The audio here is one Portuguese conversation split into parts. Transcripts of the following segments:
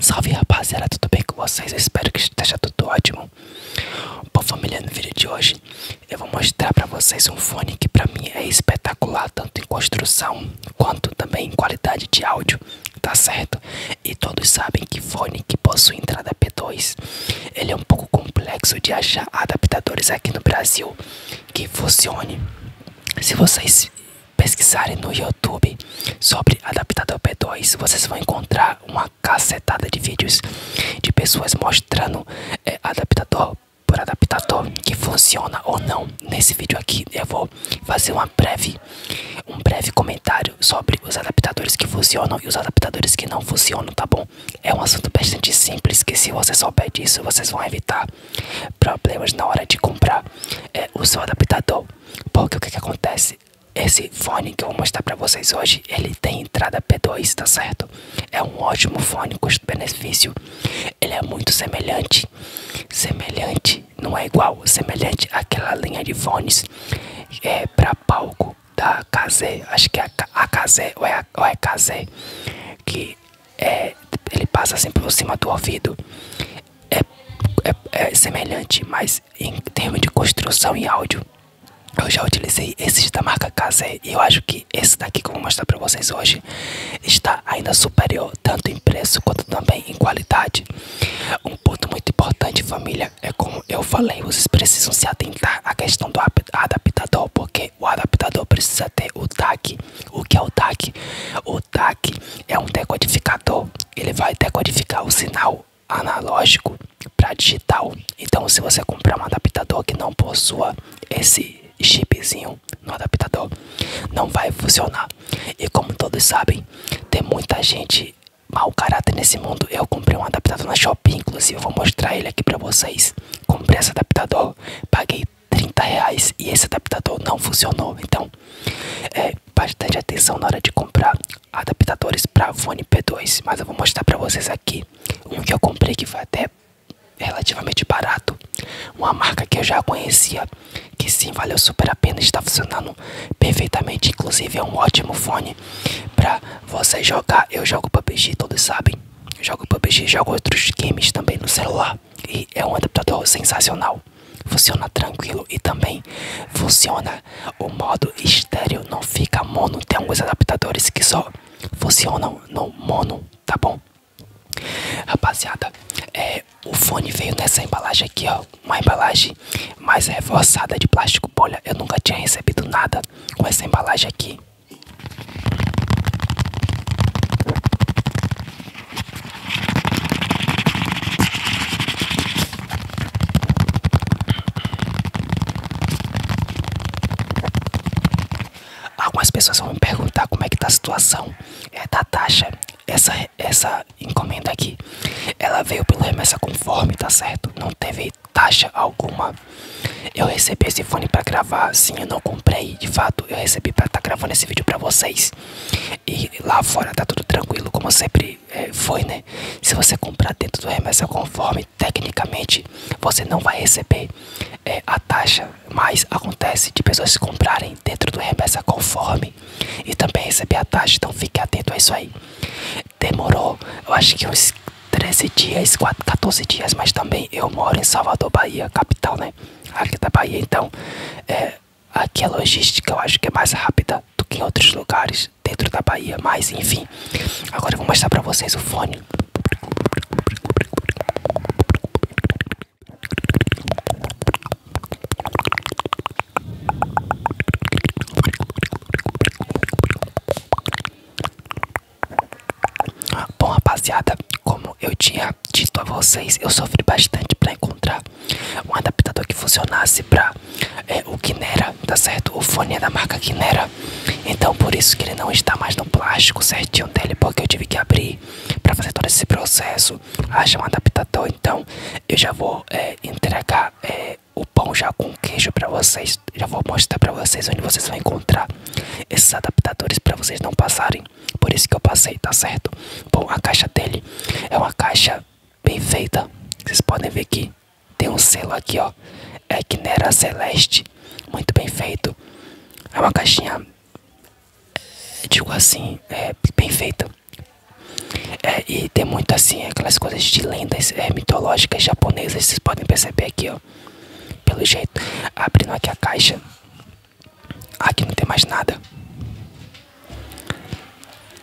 Salve rapaziada, tudo bem com vocês? espero que esteja tudo ótimo. Bom familiar no vídeo de hoje eu vou mostrar pra vocês um fone que pra mim é espetacular, tanto em construção quanto também em qualidade de áudio, tá certo? E todos sabem que fone que possui entrada P2 ele é um pouco complexo de achar adaptadores aqui no Brasil que funcionem. Se vocês pesquisarem no YouTube sobre adaptador P2, vocês vão encontrar uma cacetada de vídeos de pessoas mostrando é, adaptador por adaptador que funciona ou não. Nesse vídeo aqui eu vou fazer uma breve, um breve comentário comentário sobre os adaptadores que funcionam e os adaptadores que não funcionam, tá bom? É um assunto bastante simples que se você souber isso vocês vão evitar problemas na hora de comprar é, o seu adaptador. Porque o que, acontece? Esse fone que eu vou mostrar pra vocês hoje, ele tem entrada P2, tá certo? É um ótimo fone, custo-benefício. Ele é muito semelhante, semelhante, não é igual, semelhante àquela linha de fones é, para palco da Kazé, acho que é a Kazé ou é, a, ou é Kazé, que é, ele passa assim por cima do ouvido. É, é, é, semelhante, mas em termos de construção e áudio, eu já utilizei esses da marca Kazé e eu acho que esse daqui que eu vou mostrar para vocês hoje está ainda superior, tanto em preço quanto também em qualidade. Um ponto muito importante, família, é, como eu falei, vocês precisam se atentar à questão do adaptador, porque o adaptador precisa ter o TAC. O que é o TAC? O TAC é um decodificador, ele vai decodificar o sinal analógico para digital. Então, se você comprar um adaptador que não possua esse chipzinho no adaptador, não vai funcionar. E como todos sabem, tem muita gente mau caráter nesse mundo. Eu comprei um adaptador na shopping inclusive vou mostrar ele aqui para vocês. Comprei esse adaptador, paguei 30 reais e esse adaptador não funcionou. Então, é bastante atenção na hora de comprar adaptadores para fone P2. Mas eu vou mostrar para vocês aqui um que eu comprei que foi até relativamente barato. Uma marca que eu já conhecia que sim, valeu super a pena, está funcionando perfeitamente, inclusive é um ótimo fone para você jogar. Eu jogo PUBG, todos sabem. Eu jogo PUBG, jogo outros games também no celular e é um adaptador sensacional. Funciona tranquilo e também funciona o modo estéreo, não fica mono. Tem alguns adaptadores que só funcionam no mono, tá bom? Rapaziada, é, o fone veio nessa embalagem aqui, ó. Uma embalagem mais reforçada de plástico bolha. Eu nunca tinha recebido nada com essa embalagem aqui. Algumas pessoas vão me perguntar como é que tá a situação é, da taxa essa, essa encomenda aqui, ela veio pelo remessa conforme, tá certo? Não teve taxa alguma. Eu recebi esse fone para gravar, sim, eu não comprei, de fato, eu recebi para estar tá gravando esse vídeo para vocês. E lá fora tá tudo tranquilo, como sempre é, foi, né? Se você comprar dentro do remessa conforme, tecnicamente, você não vai receber é, a taxa, mas acontece de pessoas comprarem dentro do remessa conforme e também receber a taxa, então fique atento a isso aí. Demorou, eu acho que uns 13 dias, 4, 14 dias, mas também eu moro em Salvador, Bahia, capital, né? Aqui da Bahia, então é, aqui a logística eu acho que é mais rápida do que em outros lugares dentro da Bahia, mas enfim. Agora eu vou mostrar pra vocês o fone. Bom, rapaziada, como eu tinha dito a vocês, eu sofri bastante para encontrar um adaptador que funcionasse para é, o Kinera, tá certo? O fone é da marca Kinera. Então, por isso que ele não está mais no plástico certinho dele, porque eu tive que abrir para fazer todo esse processo não ah, acham é um adaptador, então eu já vou é, entregar é, o pão já com queijo para vocês. Já vou mostrar para vocês onde vocês vão encontrar esses adaptadores para vocês não passarem. Por isso que eu passei, tá certo? Bom, a caixa dele é uma caixa bem feita. Vocês podem ver que tem um selo aqui, ó. É que nera Celeste. Muito bem feito. É uma caixinha digo assim, é, bem feita. É, e tem muito assim, aquelas coisas de lendas é, mitológicas japonesas, vocês podem perceber aqui, ó. Pelo jeito, abrindo aqui a caixa. Aqui não tem mais nada.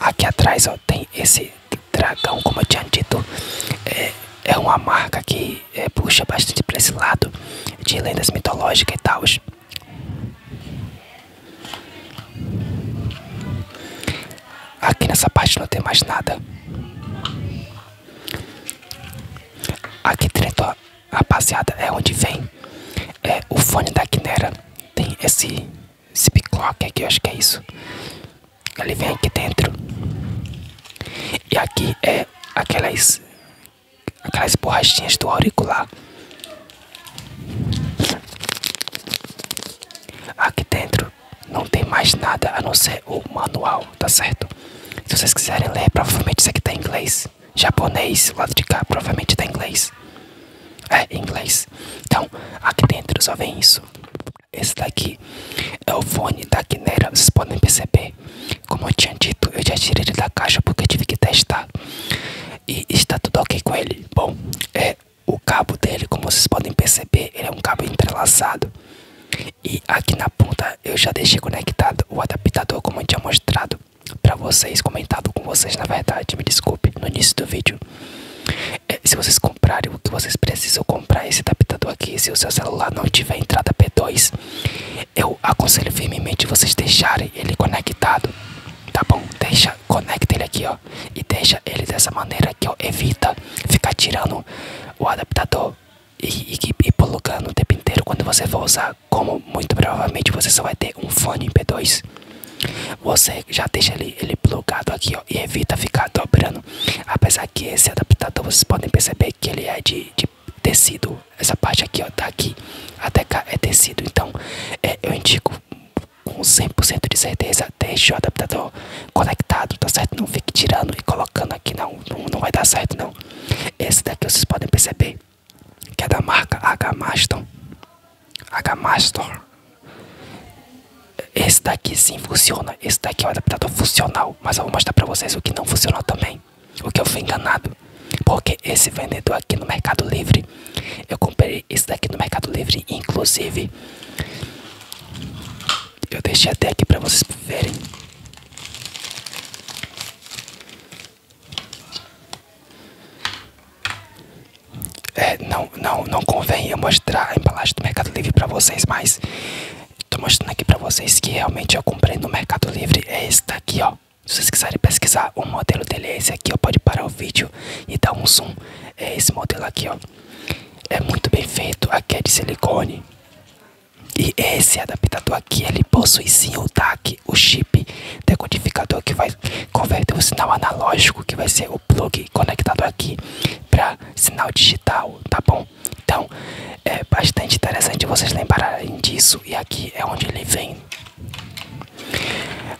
Aqui atrás, ó, tem esse dragão, como eu tinha dito. É, é uma marca que é, puxa bastante para esse lado de lendas mitológicas e tal. Aqui nessa parte não tem mais nada. Aqui dentro, rapaziada, é onde vem é o fone da Quinera. Tem esse, esse biclock aqui, eu acho que é isso. Ele vem aqui dentro. E aqui é aquelas aquelas borrachinhas do auricular. Aqui dentro não tem mais nada a não ser o manual, tá certo? Se vocês quiserem ler, provavelmente isso aqui tá em inglês. Japonês, lado de cá, provavelmente tá em inglês. É, em inglês. Então, aqui dentro só vem isso. Esse daqui é o fone da Quinera, vocês podem perceber como eu tinha dito, eu já tirei ele da caixa porque tive que testar. E está tudo ok com ele. Bom, é o cabo dele, como vocês podem perceber, é um cabo entrelaçado. E aqui na ponta eu já deixei conectado o adaptador como eu tinha mostrado para vocês, comentado com vocês na verdade, me desculpe, no início do vídeo. É, se vocês comprarem o que vocês precisam comprar esse adaptador aqui, se o seu celular não tiver entrada P2, eu aconselho firmemente vocês deixarem ele conectado, tá bom? Deixa, conecta ele aqui, ó, e deixa ele dessa maneira que ó, evita ficar tirando o adaptador e, e, e plugando o tempo inteiro quando você for usar. Como muito provavelmente você só vai ter um fone P2, você já deixa ele, ele plugado aqui, ó, e evita ficar dobrando. Apesar que esse adaptador vocês podem perceber que ele é de tecido. Essa parte aqui, ó, tá aqui até cá é tecido. Então, é, eu indico com 100% de certeza, deixe o adaptador conectado, tá certo? Não fique tirando e colocando aqui, não, não, vai dar certo, não. Esse daqui vocês podem perceber que é da marca H-Maston. H-Maston. Esse daqui sim funciona, esse daqui é um adaptador funcional, mas eu vou mostrar pra vocês o que não funciona também. O que eu fui enganado. Porque esse vendedor aqui no Mercado Livre, eu comprei esse daqui no Mercado Livre, inclusive. Eu deixei até aqui para vocês verem. É, não, não, não convém eu mostrar a embalagem do Mercado Livre para vocês, mas Tô mostrando aqui pra vocês que realmente eu comprei no Mercado Livre. É esse daqui, ó. Se vocês quiserem pesquisar, o modelo dele é esse aqui, ó. Pode parar o vídeo e dar um zoom. É esse modelo aqui, ó. É muito bem feito. Aqui é de silicone. E esse adaptador aqui, ele possui sim o DAC, o chip decodificador que vai converter o sinal analógico, que vai ser o plugue conectado aqui, para sinal digital, tá bom? Então é bastante interessante vocês lembrarem disso e aqui é onde ele vem.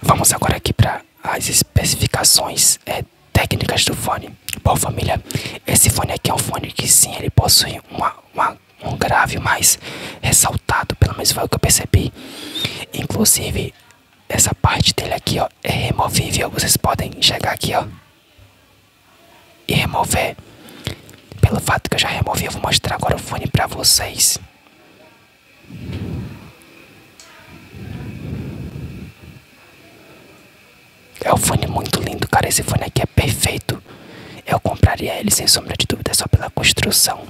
Vamos agora aqui para as especificações é, técnicas do fone. Bom família, esse fone aqui é um fone que sim, ele possui uma, um grave mais ressaltado, pelo menos foi o que eu percebi. Inclusive essa parte dele aqui ó, é removível, vocês podem chegar aqui ó e remover. Pelo fato que eu já removi, eu vou mostrar agora o fone para vocês. É um fone muito lindo, cara. Esse fone aqui é perfeito. Eu compraria ele sem sombra de dúvida só pela construção.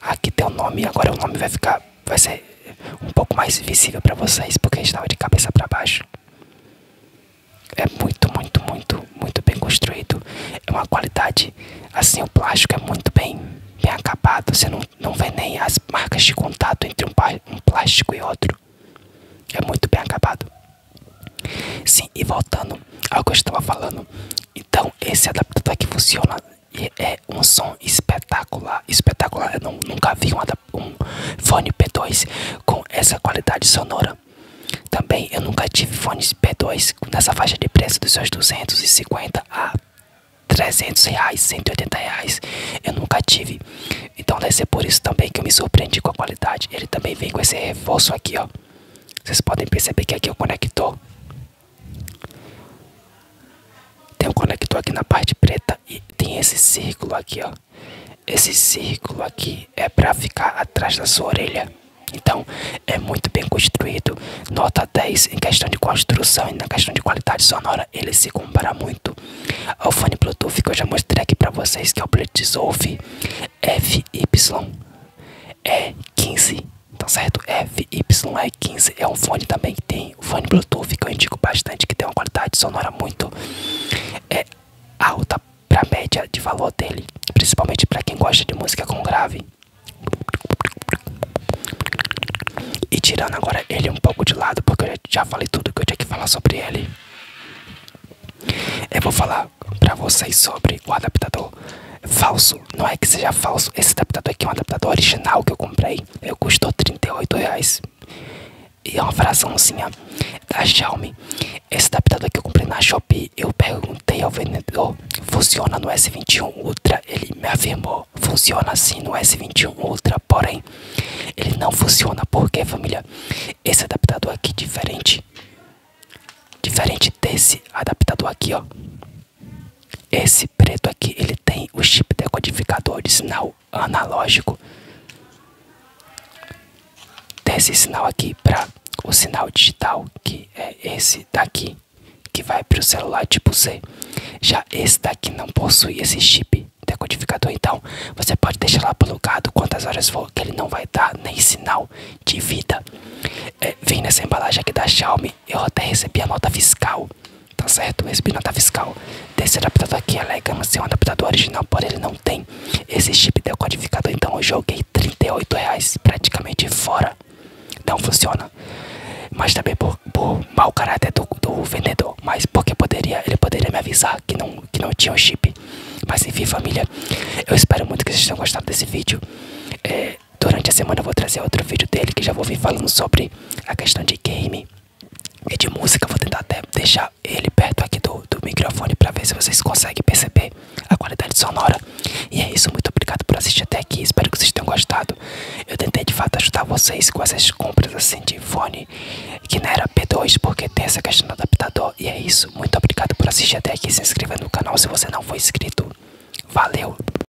Aqui tem o nome, agora o nome vai ficar, vai ser um pouco mais visível para vocês porque estava de cabeça para baixo. É muito, muito, muito, muito bem construído. É uma qualidade, assim, o plástico é muito bem, bem acabado. Você não, não vê nem as marcas de contato entre um, plástico e outro. É muito bem acabado. Sim, e voltando ao que eu estava falando. Então, esse adaptador é que funciona é um som espetacular. Espetacular, eu nunca vi um adaptador um fone P2 com essa qualidade sonora. Também eu nunca tive fones P2 nessa faixa de preço dos seus 250 a 300 reais, 180 reais. Eu nunca tive. Então deve ser por isso também que eu me surpreendi com a qualidade. Ele também vem com esse reforço aqui, ó. Vocês podem perceber que aqui é o conector. Tem um conector aqui na parte preta e tem esse círculo aqui, ó. Esse círculo aqui é para ficar atrás da sua orelha. Então, é muito bem construído. Nota 10 em questão de construção e na questão de qualidade sonora, ele se compara muito ao fone Bluetooth que eu já mostrei aqui para vocês, que é o Bluetooth FY é 15, tá certo? FY é 15, é um fone também que tem Assim, o fone Bluetooth que eu indico bastante, que tem uma qualidade sonora muito é, alta para média de valor dele, principalmente para quem gosta de música com grave. E tirando agora ele um pouco de lado, porque eu já falei tudo que eu tinha que falar sobre ele. Eu vou falar para vocês sobre o adaptador falso. Não é que seja falso, esse adaptador aqui é um adaptador original que eu comprei. Ele custou 38 e é uma fraçãozinha da Xiaomi. Esse adaptador que eu comprei na Shopee, eu perguntei ao vendedor, funciona no S21 Ultra? Ele me afirmou, funciona sim no S21 Ultra, porém, ele não funciona. porque família? Esse adaptador aqui, diferente, diferente desse adaptador aqui, ó. Esse preto aqui, ele tem o chip decodificador de sinal analógico. Desse sinal aqui para o sinal digital, que é esse daqui, que vai para o celular tipo C. Já esse daqui não possui esse chip decodificador, então você pode deixar lá plugado quantas horas for, que ele não vai dar nem sinal de vida. É, vem nessa embalagem aqui da Xiaomi, eu até recebi a nota fiscal, tá certo? Eu recebi nota fiscal desse adaptador aqui, alegando é ser é um adaptador original, porém ele não tem esse chip decodificador, então eu joguei 38 praticamente fora, não funciona. Mas também por, por mau caráter do, vendedor, mas porque poderia, ele poderia me avisar que não, que não tinha o chip. Mas enfim, família, eu espero muito que vocês tenham gostado desse vídeo. É, durante a semana eu vou trazer outro vídeo dele que já vou vir falando sobre a questão de game e de música. Vou tentar até deixar ele perto aqui do, do microfone para ver se vocês conseguem perceber a qualidade sonora. E é isso, muito obrigado por assistir até aqui. Espero que vocês tenham gostado. Eu tentei de fato ajudar vocês com essas compras assim de fone que não era P2 porque tem essa questão do adaptador. E é isso, muito obrigado por assistir até aqui. Se inscreva no canal se você não for inscrito. Valeu!